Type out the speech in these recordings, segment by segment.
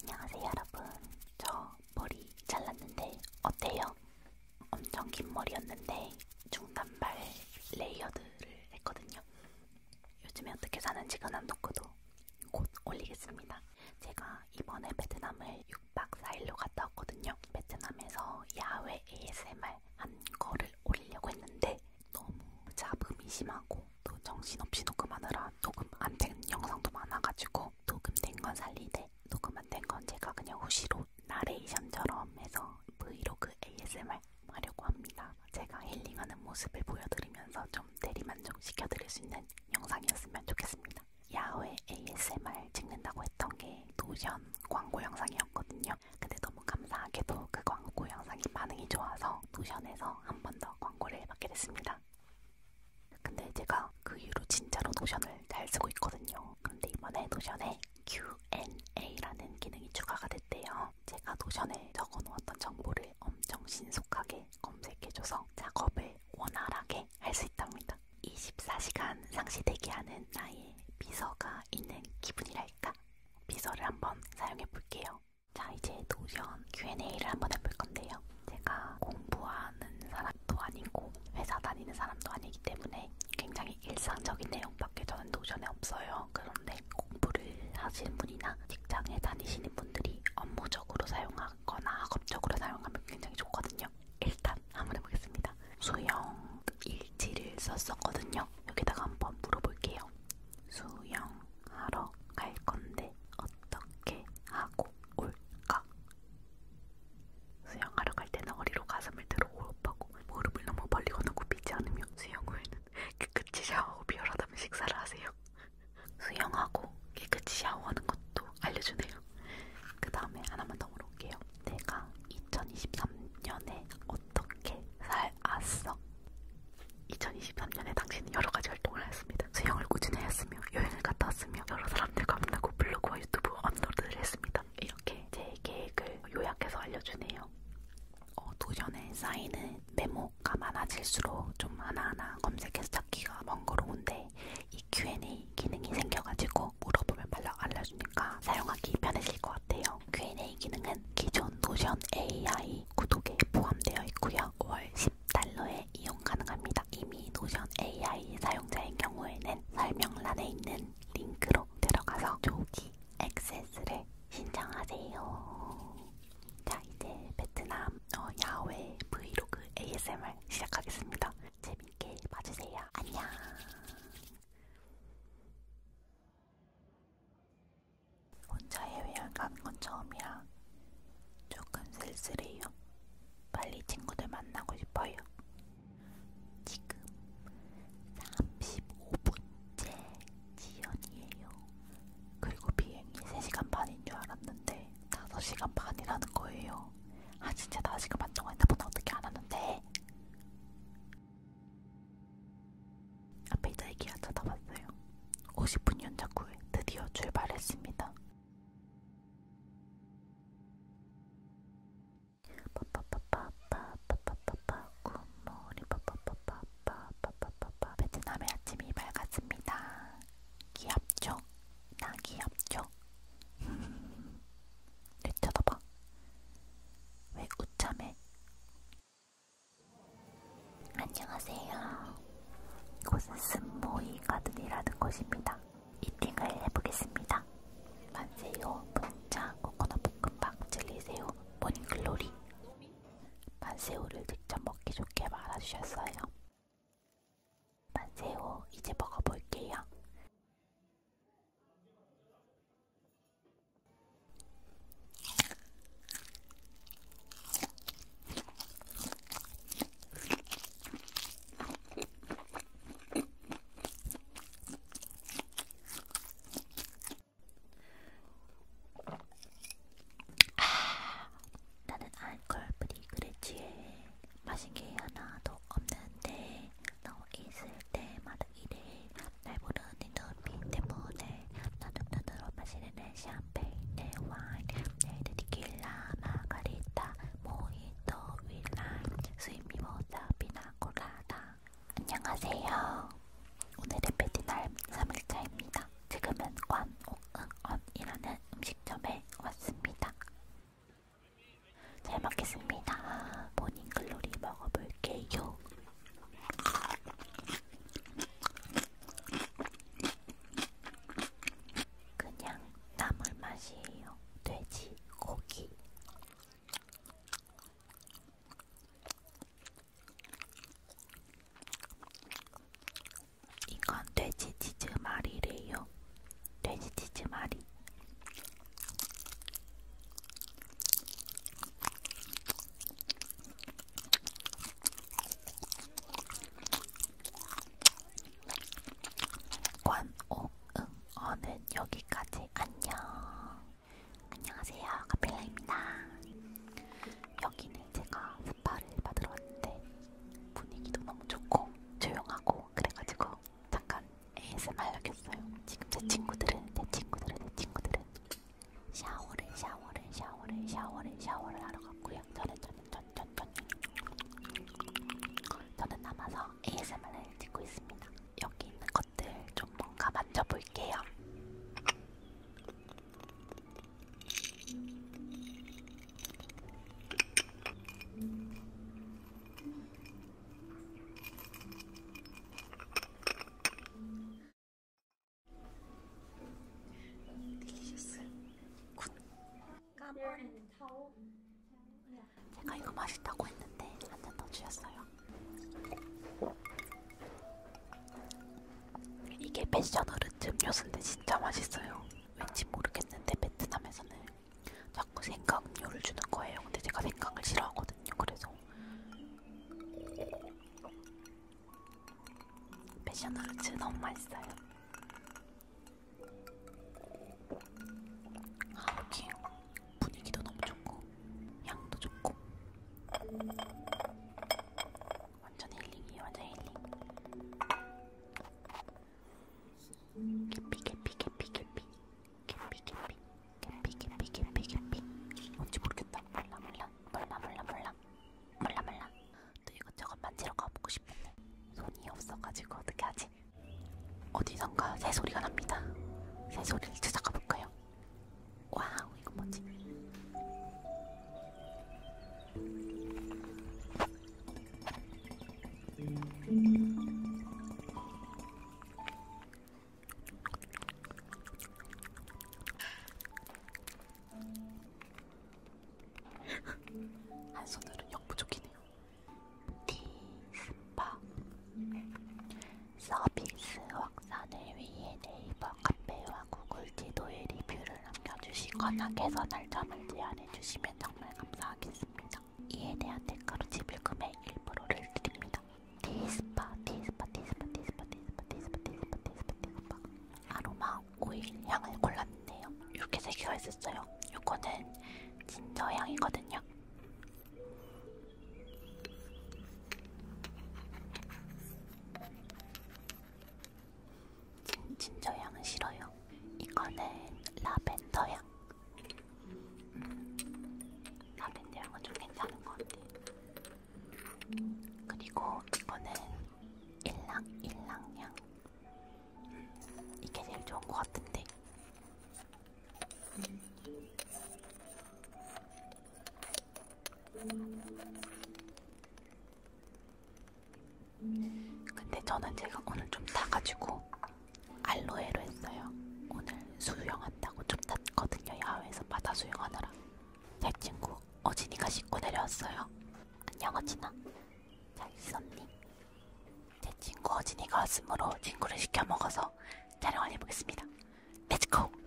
안녕하세요 여러분 저 머리 잘랐는데 어때요? 엄청 긴 머리였는데 중단발 레이어드를 했거든요 요즘에 어떻게 사는지가 안 놓고도 곧 올리겠습니다 제가 이번에 베트남을 6박 4일로 갔다 왔거든요 베트남에서 야외 ASMR 한 거를 올리려고 했는데 너무 잡음이 심하고 또 정신없이 녹음하느라 녹음 안 된 영상도 많아가지고 녹음된 건 살리되 녹음 안 된 건 제가 그냥 후시로 나레이션처럼 해서 브이로그 ASMR 하려고 합니다. 제가 힐링하는 모습을 보여드리면서 좀 대리만족 시켜드릴 수 있는 영상이었으면 좋겠습니다. 야외 ASMR 찍는다고 했던 게 노션 광고 영상이었거든요. 근데 너무 감사하게도 그 광고 영상이 반응이 좋아서 노션에서 한번더 광고를 받게 됐습니다. 근데 제가 그 이후로 진짜로 노션을 잘 쓰고 있거든요. 근데 이번에 노션에 Q&A라는 기능이 추가가 됐대요. 제가 노션에 적어놓았던 정보를 엄청 신속하게 검색해줘서 작업을 원활하게 할 수 있답니다. 24시간 상시 대기하는 나의 비서가 있는 기분이랄까? 비서를 한번 사용해 볼게요. 자, 이제 도전 Q&A를 한번 해볼 건데요. 제가 공부하는 사람도 아니고 회사 다니는 사람도 아니기 때문에 굉장히 일상적인 내용밖에 저는 도전에 없어요. 그런데 공부를 하시는 분이나 직장에 다니시는 분들이 업무적으로 사용하거나 학업적으로 사용하면 굉장히 좋거든요. 일단 한번 해보겠습니다. 수영 일지를 썼었거든요. 여기다가 한번 물어볼게요. 수영 하러 갈 건데 어떻게 하고 올까? 수영하러 갈 때는 허리로 가슴을 들어 호흡하고 무릎을 너무 멀리 건너굽히지 않으며 수영 후에는 깨끗이 샤워하고 비열하다면 식사를 하세요. 수영하고 깨끗이 샤워하는 것도 알려주네요. 그 다음에 하나만 더 물어볼게요. 내가 2023년에 어떻게 살았어? 2023년에 당신은 여러가지 활동을 하였습니다. 수영을 꾸준히 하였으며 여행을 갔다 왔으며 여러 사람들과 만나고 블로그와 유튜브 업로드를 했습니다. 이렇게 제 계획을 요약해서 알려주네요. 어, 도전에 쌓이는 메모가 많아질수록 좀 하나하나 검색해서 찾기가 번거로운데 이 Q&A 기능이 생겨가지고 물어보면 빨리 알려주니까 사용하기 편해질 것 같아요. 있고요. Q&A 기능은 기존 노션 AI 구독에 포함되어 있고요. 월 10달러에 이용 가능합니다. 이미 노션 AI 사용자인 경우에는 설명란에 있는 링크로 들어가서 조기 액세스를 신청하세요. 자, 이제 베트남 어, 야외 브이로그 ASMR 시작하겠습니다. 재밌게 봐주세요. 안녕. 혼자 해외여행 가는 건 처음이라 조금 쓸쓸해요. 빨리 친구들 만나고 싶어요. 지금 35분째 지연이에요. 그리고 비행이 3시간 반인 줄 알았는데 5시간 반이라는 거예요. 아 진짜 나 지금 안 정했나 보다 어떻게 안 하는데? 앞에 있자 이기아 찾아봤어요. 50분 연착 후에 드디어 출발했습니다. 빠빠빠빠빠빠빠빠 굿모닝 빠빠빠빠빠빠빠빠 베트남의 아침이 밝았습니다. 기압죠? 나 기압죠? 내 네, 쳐다봐. 왜 웃자매? 안녕하세요. 이곳은 스모이 가든이라는 곳입니다. 이팅을 해보겠습니다. 만세요, 분짜, 코코넛 볶음밥, 젤리새우, 모닝글로리. 만세우를 직접 먹기 좋게 말아주셨어요. 만세우 이제 먹어볼게요. 아, 나는 알콜 브리그레치에 마신 게 하나도 없는데 너 있을 때마다 일해 날 부르는 눈빛 때문에 나는 눈으로 마시는 내 샴페인 내 와인 내 디킬라 마가리타 모히또 윌라인 스윗미모자 비나코라다 안녕하세요 오늘은 베트남 3일차입니다 지금은 관옥응언이라는 음식점에 왔습니다 잘 먹겠습니다. 모닝글로리 먹어볼게요. 그냥 나물 맛이에요. 돼지 고기. 이건 돼지 치즈 말이래요. 돼지 치즈 말이. 관옥응어는 여기까지 안녕. 안녕하세요, 카필라입니다. 여기는 제가 스파를 받으러 왔는데 분위기도 너무 좋고 조용하고 그래가지고 잠깐 ASMR 켰어요. 지금 제 친구들은 내 친구들은 내 친구들은 샤워를 샤워를 샤워를 샤워를 샤워를 하러 갔고요. 저는 저는 저는 저는 저는 저는 남아서 ASMR을 찍고 있습니다. 여기 있는 것들 좀 뭔가 만져볼게요. 들리셨어요? 굿. 제가 이거 맛있다고 했는데 한잔더 주셨어요. 이게 패션 어르트 음료수인데 진짜 맛있어요. 왠지 모르겠는데 베트남에서는 자꾸 생강류를 주는 거예요. 근데 제가 생강을 싫어하거든요. 그래서 패셔널츠 너무 맛있어요. 아 여기 분위기도 너무 좋고 향도 좋고 완전 힐링이에요. 완전 힐링. 개피 개피 개피 개피 캠핑 캠핑 캠핑 캠핑 캠핑 캠핑 뭔지 모르겠다 몰라 몰라 몰라 몰라 몰라 몰라 몰라 또 이것저것 만지러 가보고 싶은데 손이 없어가지고 어떻게 하지? 어디선가 새소리가 납니다 새소리를 찾아가볼까요? 와우 이거 뭐지? 한 손으로 역부족이네요. 티스파 서비스 확산을 위해 네이버 카페와 구글 지도에 리뷰를 남겨주시거나 개선 날짜을 제안해주시면 정말 감사하겠습니다. 있죠. 이에 대한 대가로 지불금의 1%를 드립니다. 디스파, 디스파, 디스파, 디스파, 디스파, 디스파, 디스파, 디스파, 디스파. 아로마 오일 향을 골랐는데요. 이렇게 세 개가 있었어요. 이거는 진저 향이거든요. 진, 진저 향은 싫어요. 이거는 라벤더 향. 라벤더 향은 좀 괜찮은 것 같아. 그리고 이거는 일랑 일랑향. 이게 제일 좋은 것 같은데. 근데 저는 제가 오늘 좀 타가지고 알로에로 했어요. 오늘 수영한다고 좀 탔거든요. 야외에서 바다 수영하느라. 내 친구 어진이가 씻고 내려왔어요. 안녕 어진아. 잘 있었니? 제 친구 어진이가 왔으므로 친구를 시켜 먹어서 촬영을 해보겠습니다. 렛츠고!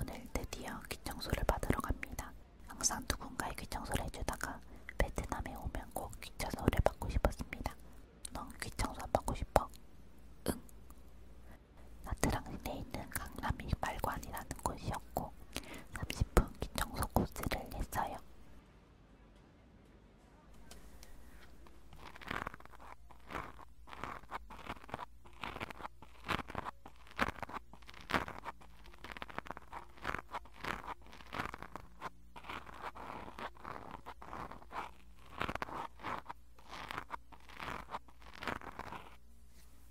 오늘 드디어 귀청소를 받으러 갑니다. 항상 누군가의 귀청소를 해주다가 베트남에 오면 꼭 귀청소를 받고 싶었습니다. 넌 귀청소 안 받고 싶어? 응. 나트랑시내에 있는 강남이 말관이라는 곳이었고 30분 기청소 코스를 했어요.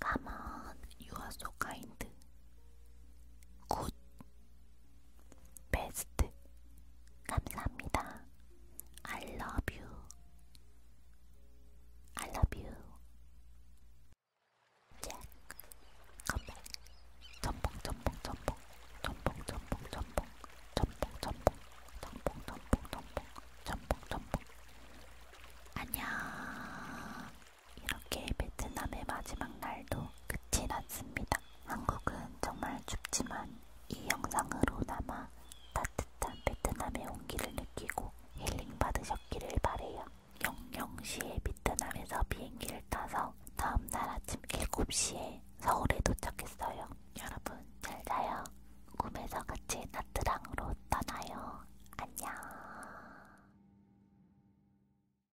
Come on, you are so kind. Good. 베스트 감사합니다. I love you. I love you. 잭. 컴백. 전봉 전봉 전봉. 전봉 전봉 전봉. 전봉 전봉. 전봉 전봉 전봉. 전봉 전봉. 안녕. 이렇게 베트남의 마지막 날도 끝이 났습니다. 한국은 정말 춥지만 이 영상으로 남아 따뜻한 베트남의 온기를 느끼고 힐링 받으셨기를 바래요. 영영시에 베트남에서 비행기를 타서 다음날 아침 7시에 서울에 도착했어요. 여러분 잘 자요. 꿈에서 같이 나트랑으로 떠나요. 안녕.